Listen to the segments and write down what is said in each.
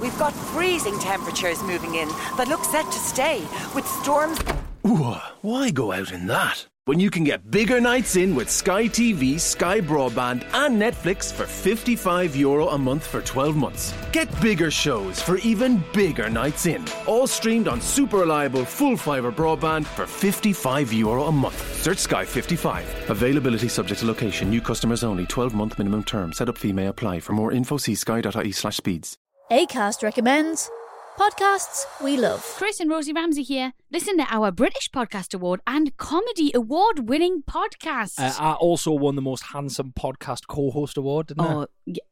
We've got freezing temperatures moving in that look set to stay, with storms. why go out in that? When you can get bigger nights in with Sky TV, Sky Broadband, and Netflix for €55 Euro a month for 12 months. Get bigger shows for even bigger nights in. All streamed on super reliable full fibre broadband for €55 Euro a month. Search Sky 55. Availability subject to location, new customers only, 12 months minimum term. Setup fee may apply. For more info, see sky.ie slash speeds. ACAST recommends podcasts we love. Chris and Rosie Ramsey here. Listen to our British Podcast Award and Comedy Award winning podcast. Uh, I also won the Most Handsome Podcast Co host award, oh,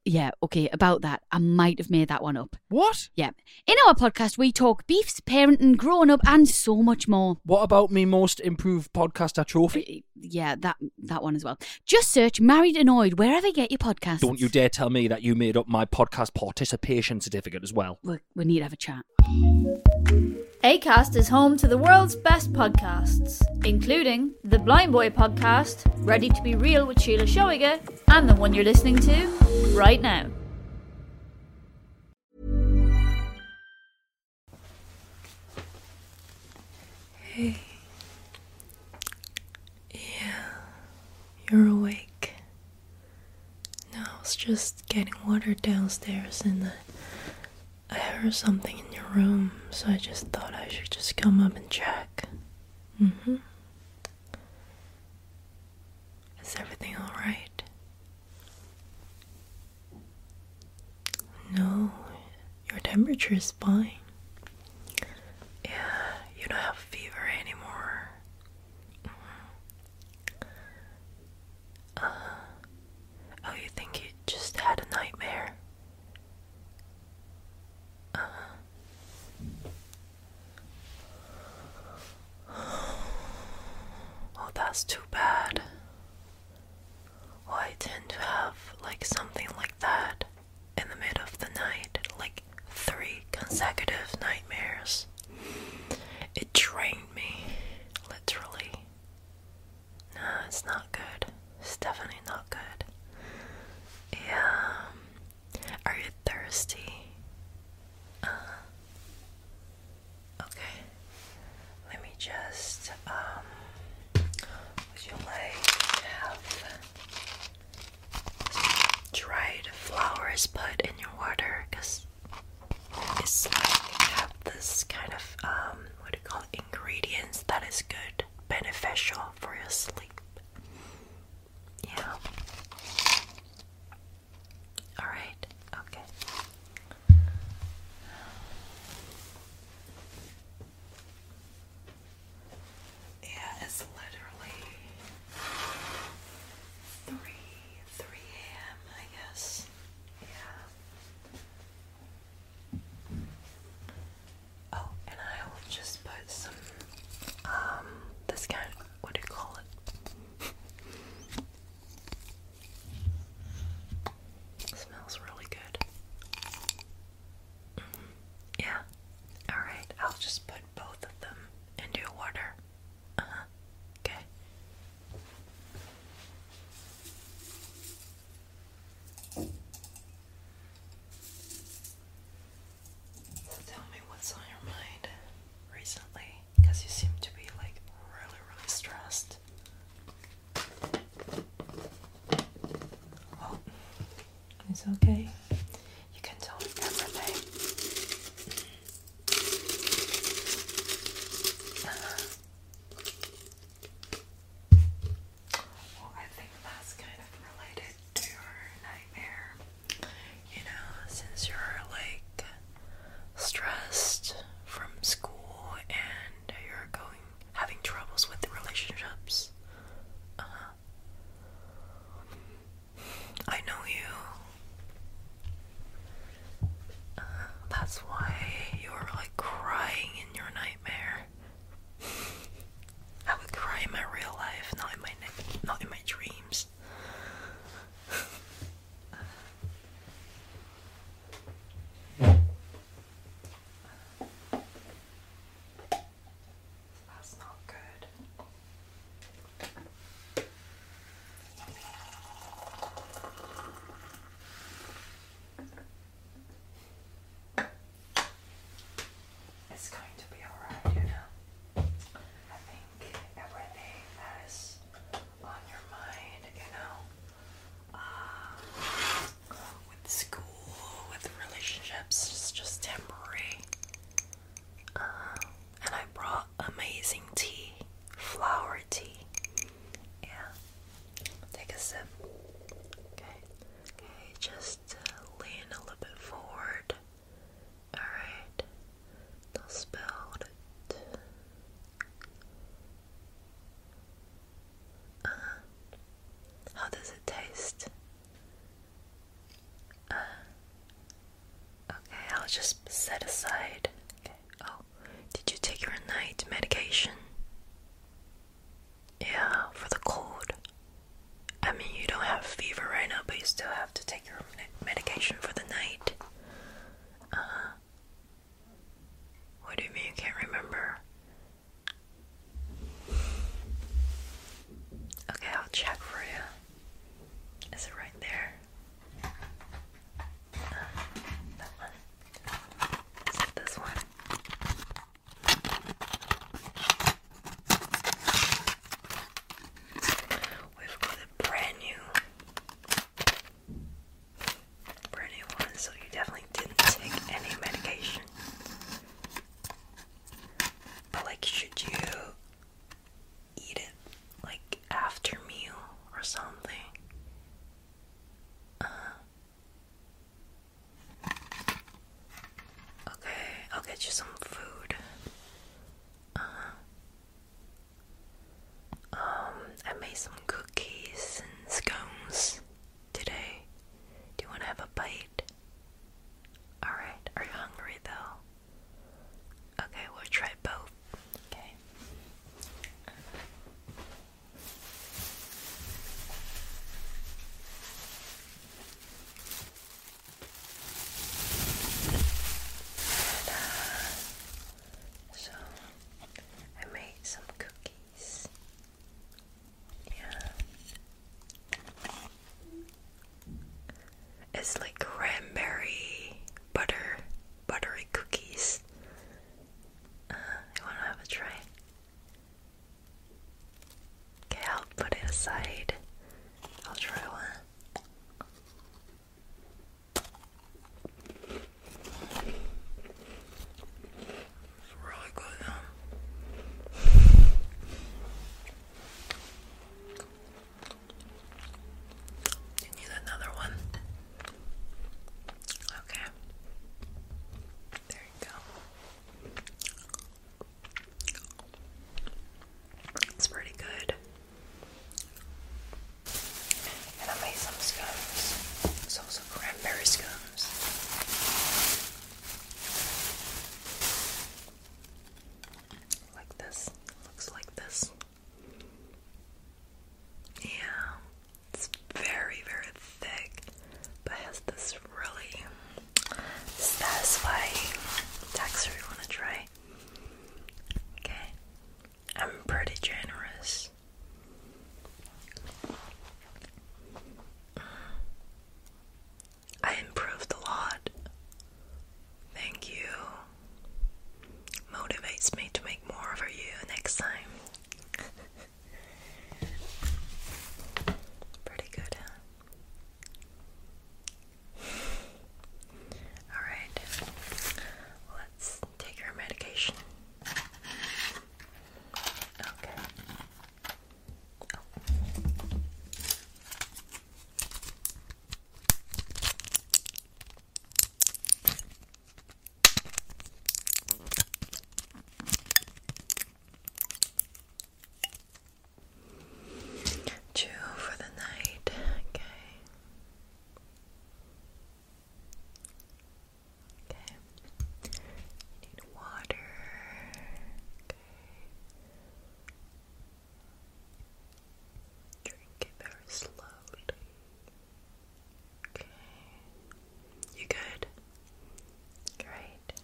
yeah, okay, about that. I might have made that one up. What? Yeah. In our podcast, we talk beefs, parenting, growing up, and so much more. What about me Most Improved Podcaster trophy? yeah, that that one as well. Just search Married Annoyed wherever you get your podcast. Don't you dare tell me that you made up my podcast participation certificate as well. We we need to have a chat. Acast is home to the world's best podcasts, including the Blind Boy podcast, Ready to be Real with Sheila Shoiger, and the one you're listening to right now. Hey. Yeah, you're awake. No, I was just getting water downstairs and I, I heard something in your room, so I just thought I should just come up and check. Mm hmm. Is everything alright? No, your temperature is fine. Yeah, you don't have fever anymore. Uh, oh, you think you just had a nightmare? Uh, oh, that's too bad. Oh, I tend to have like something like that in the middle of the night, like three consecutive nightmares. It drained me, literally. No, it's not good. It's definitely not good. Yeah. Um, are you thirsty? Uh, Okay, let me just, um, would you like have dried flowers put in your water? Because it's like, have this kind of, um, what do you call it, ingredients that is good, beneficial for your sleep. Yeah. Alright, okay. Yeah, it's literally three three AM I guess. Yeah. Oh, and I will just put some um this kind what do you call it? It smells really good. Mm, yeah. All right. I'll just put both of them into water. Uh huh. Okay. So tell me what's on your mind recently, because you seem to be like really, really stressed. Oh, it's okay. You can tell me everything. Uh-huh. Well, I think that's kind of related to your nightmare. You know, since you're like stressed from school and you're going having troubles with the relationships. Uh-huh. I know you. Uh, that's why you're like crying in your nightmare. I would cry in my real life, not in my not in my dreams. That's not good. It's going to be alright, you know. I think everything that is on your mind, you know, uh, with school, with relationships. It's just temporary. Uh, and I brought amazing tea, flower tea. Yeah. Take a sip. Okay. Okay, just uh, lean a little bit forward. Alright. Don't spill it. Uh, how does it taste? Uh, okay, I'll just set aside. Oh, did you take your night medication? Yeah, for the cold. I mean, you don't have fever right now, but you still have to take your medication for the night. Uh, what do you mean you can't remember? Okay, I'll check for you. Is it right there? Uh, that one. Is it this one? We've got a brand new brand new one, so you definitely didn't take any medication. But like, should you eat it like after meal or something? Uh, okay, I'll get you some food. Uh -huh. Um, I made some cookies and scones today. Do you want to have a bite? Alright, are you hungry though? Okay, we'll try both. Okay. So I made some cookies. Yeah. It's like cranberry butter, buttery cookies. Uh, you wanna have a try? Okay, I'll put it aside. I'll try one. It's really good You need another one. Okay. There you go. It's pretty good. And I made some scones. So some cranberry scones. Like this. Looks like this. Yeah. It's very, very thick, but has this really satisfying texture you wanna try. Okay. I'm pretty generous. I improved a lot. Thank you. Motivates me to make more for you next time. Pretty good, Alright, let's Take your medication. Okay. Oh. for the night, okay. Okay. You need water. Okay. Drink it very slowly. Okay. You good? Great.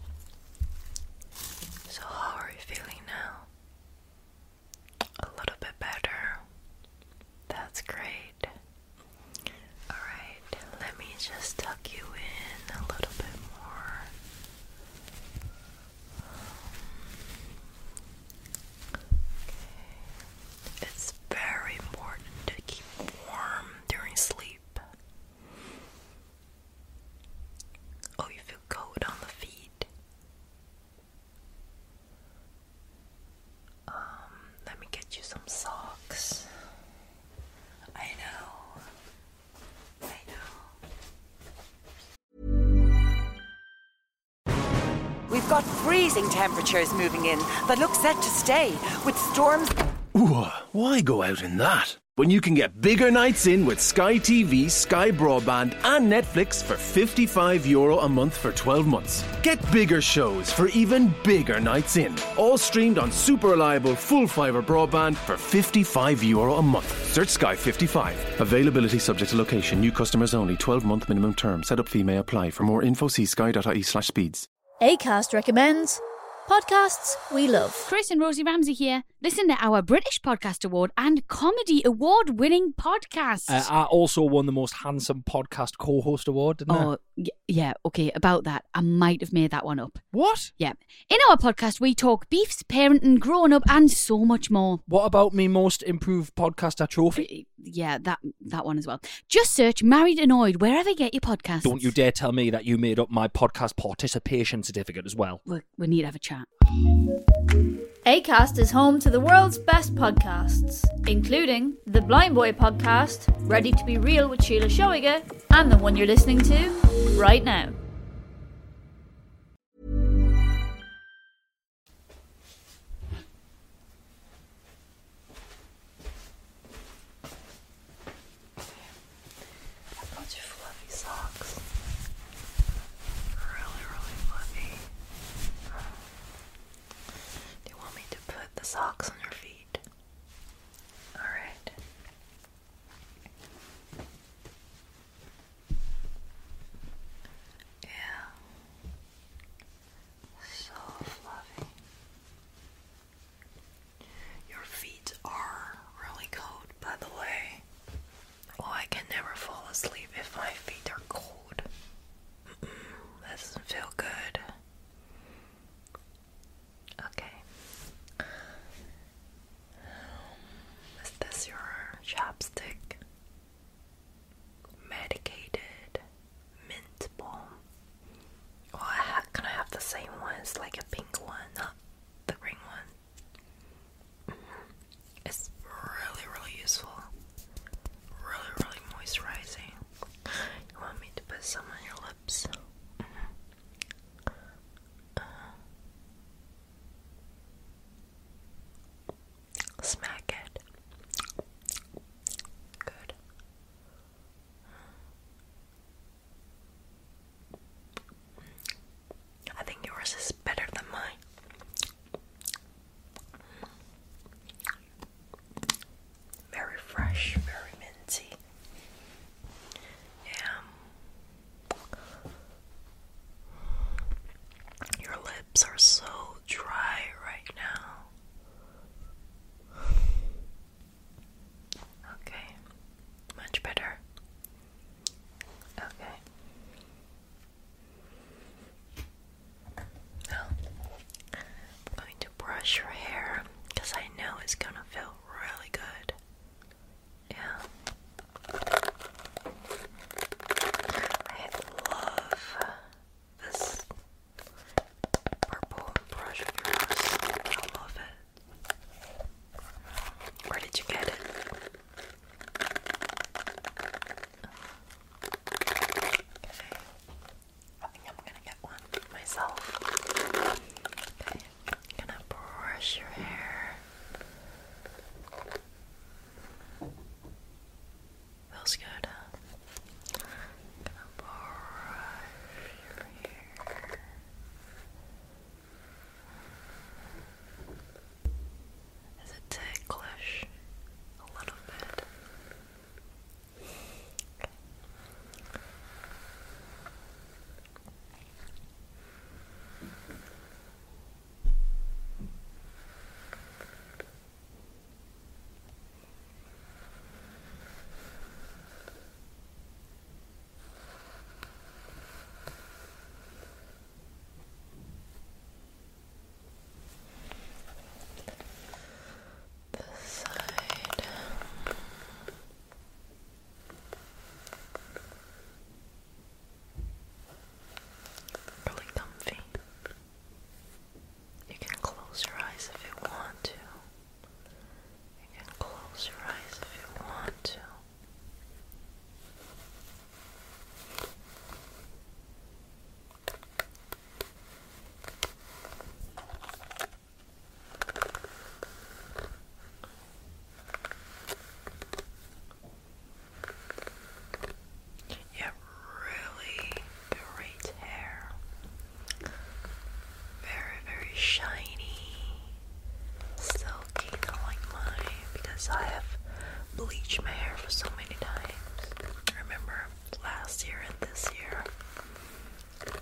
So how are you feeling now? A little bit better. That's great. Alright, let me just tuck you in a little bit more. It's very important to keep warm during sleep. Oh, you feel cold on the feet. Um, let me get you some socks. I know. I know. We've got freezing temperatures moving in that look set to stay with storms. Ooh, why go out in that? When you can get bigger nights in with Sky TV, Sky Broadband, and Netflix for 50 55 euro a month for 12 months. Get bigger shows for even bigger nights in. All streamed on super reliable full fiber broadband for 55 euro a month. Search Sky 55. Availability subject to location. New customers only. 12 month minimum term. Setup fee may apply. For more info, see sky.ie/slash speeds. Acast recommends podcasts we love. Chris and Rosie Ramsey here. Listen to our British Podcast Award and Comedy Award winning podcast uh, I also won the most handsome podcast co-host award, oh, yeah. Okay, about that, I might have made that one up. What? Yeah. In our podcast, we talk beefs, parenting, growing up, and so much more. What about me most improved podcaster trophy? Uh, yeah, that that one as well. Just search "Married Annoyed" wherever you get your podcast. Don't you dare tell me that you made up my podcast participation certificate as well. we need to have a chat. ACAST is home to the world's best podcasts, including the Blind Boy podcast, Ready to Be Real with Sheila Shoiger, and the one you're listening to right now you want me to put the socks on your feet? Alright. Yeah. So fluffy. Your feet are really cold, by the way. Oh, I can never fall asleep if my feet are cold that doesn't feel good. Okay. Um, is this your chapstick? Medicated mint balm. Well, can I have the same one? It's like a pink one, not the green one. Mm-hmm. It's really, really useful really, really moisturizing. You want me to put some on your lips? Mm-hmm. Uh, smack it. Good. I think yours is better than mine. Very fresh, very minty. Yeah. Your lips are so dry right now. Okay. Much better. Okay. I'm going to brush your hair because I know it's gonna feel really good. Yeah. I love this purple brush I love it. Where did you get it? I am gonna get one myself. gonna brush your hair. Feels good, Gonna brush your hair. Is it ticklish? A little bit. This side. Really comfy. You can close your eyes if you want to. You can close your eyes if you want to. You have really great hair. Very, very shiny. Silky, not like mine because I have bleached my hair for so many times. Remember last year and this year?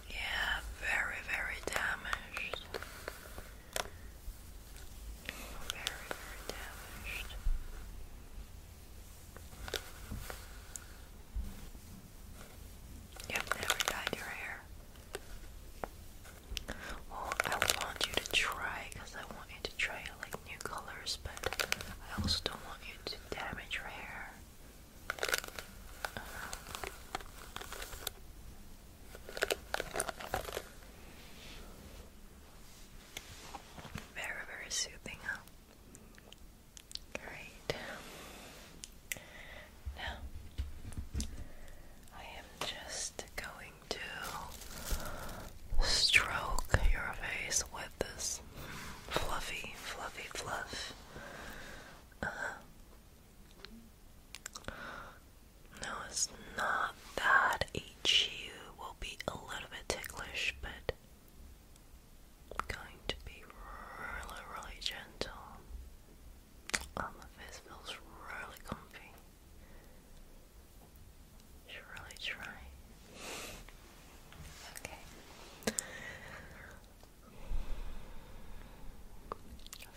Yeah, very, very damaged. Very, very damaged. Yep, never dyed your hair. Well, I want you to try because I want to try like new colors, but I also don't want you to damage your hair. very, very soothing, Great. Now, I am just going to stroke your face with this fluffy, fluffy fluff. Uh-huh. No, it's not that. Each you will be a little bit ticklish, but going to be really, really gentle. Um, oh, the face feels really comfy should really try. Okay.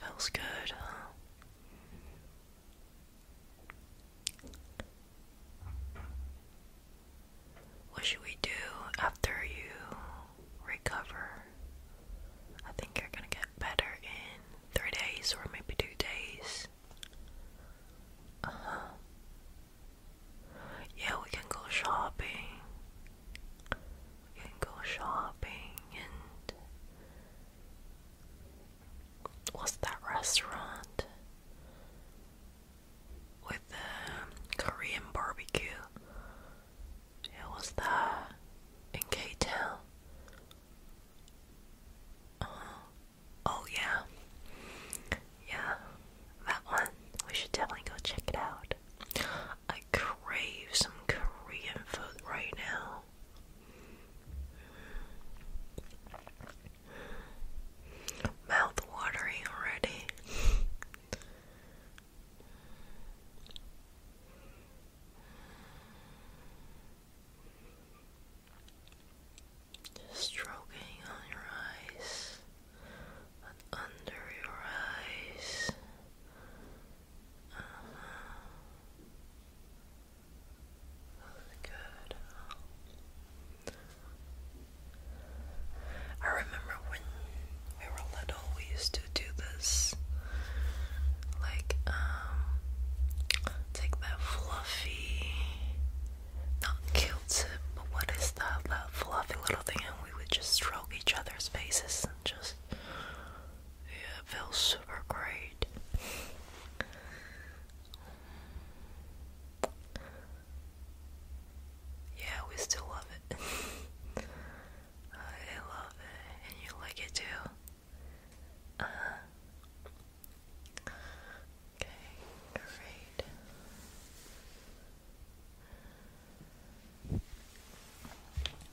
Feels good, huh? What should we do after you recover? I think you're gonna get better in three days or maybe two days. Uh-huh. Yeah, we can go shopping. We can go shopping and. What's that restaurant? With the Korean barbecue. Yeah, what's that? In K Town. Uh-huh. Oh yeah. Yeah. That one. We should definitely go check it out. I crave some Korean food right now. Mouth watering already stroking on your eyes under your eyes. Uh Good. I remember when we were little, we used to do this. Like, um, take that fluffy not cute, but what is that, that fluffy little thing? And we would just stroke each other's faces and just, yeah, feels super great. Yeah, we still love it. I love it, and you like it too. Uh-huh. Okay, great.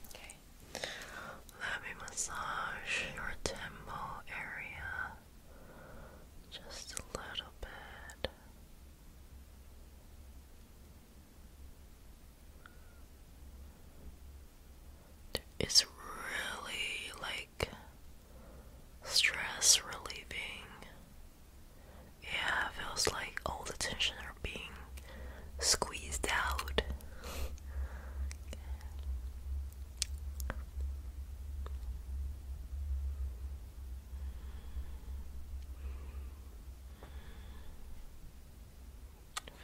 Okay. Let me massage your temple area just a little bit. It's really like stress relieving. Yeah, feels like all the tension are being squeezed out.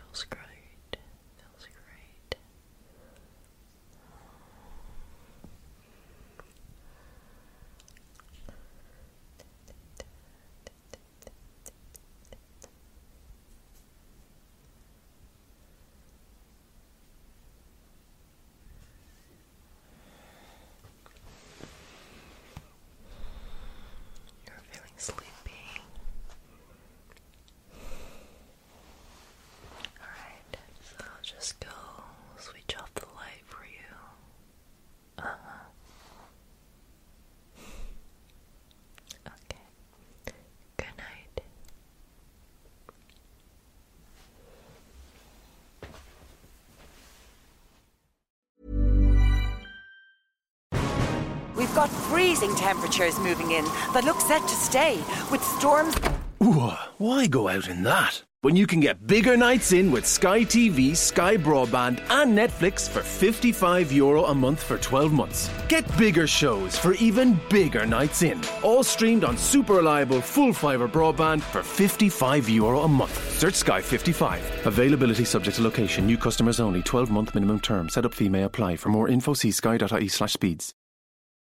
Feels great. Feels great. You're feeling sleepy. Alright, so just go switch off the light for you. Uh huh. Okay. Good night. We've got freezing temperatures moving in, that look set to stay with storms why go out in that? When you can get bigger nights in with Sky TV, Sky Broadband, and Netflix for €55 Euro a month for 12 months. Get bigger shows for even bigger nights in. All streamed on super reliable full fibre broadband for €55 Euro a month. Search Sky 55. Availability subject to location. New customers only. 12 month minimum term. Setup fee may apply. For more info, see sky.ie slash speeds.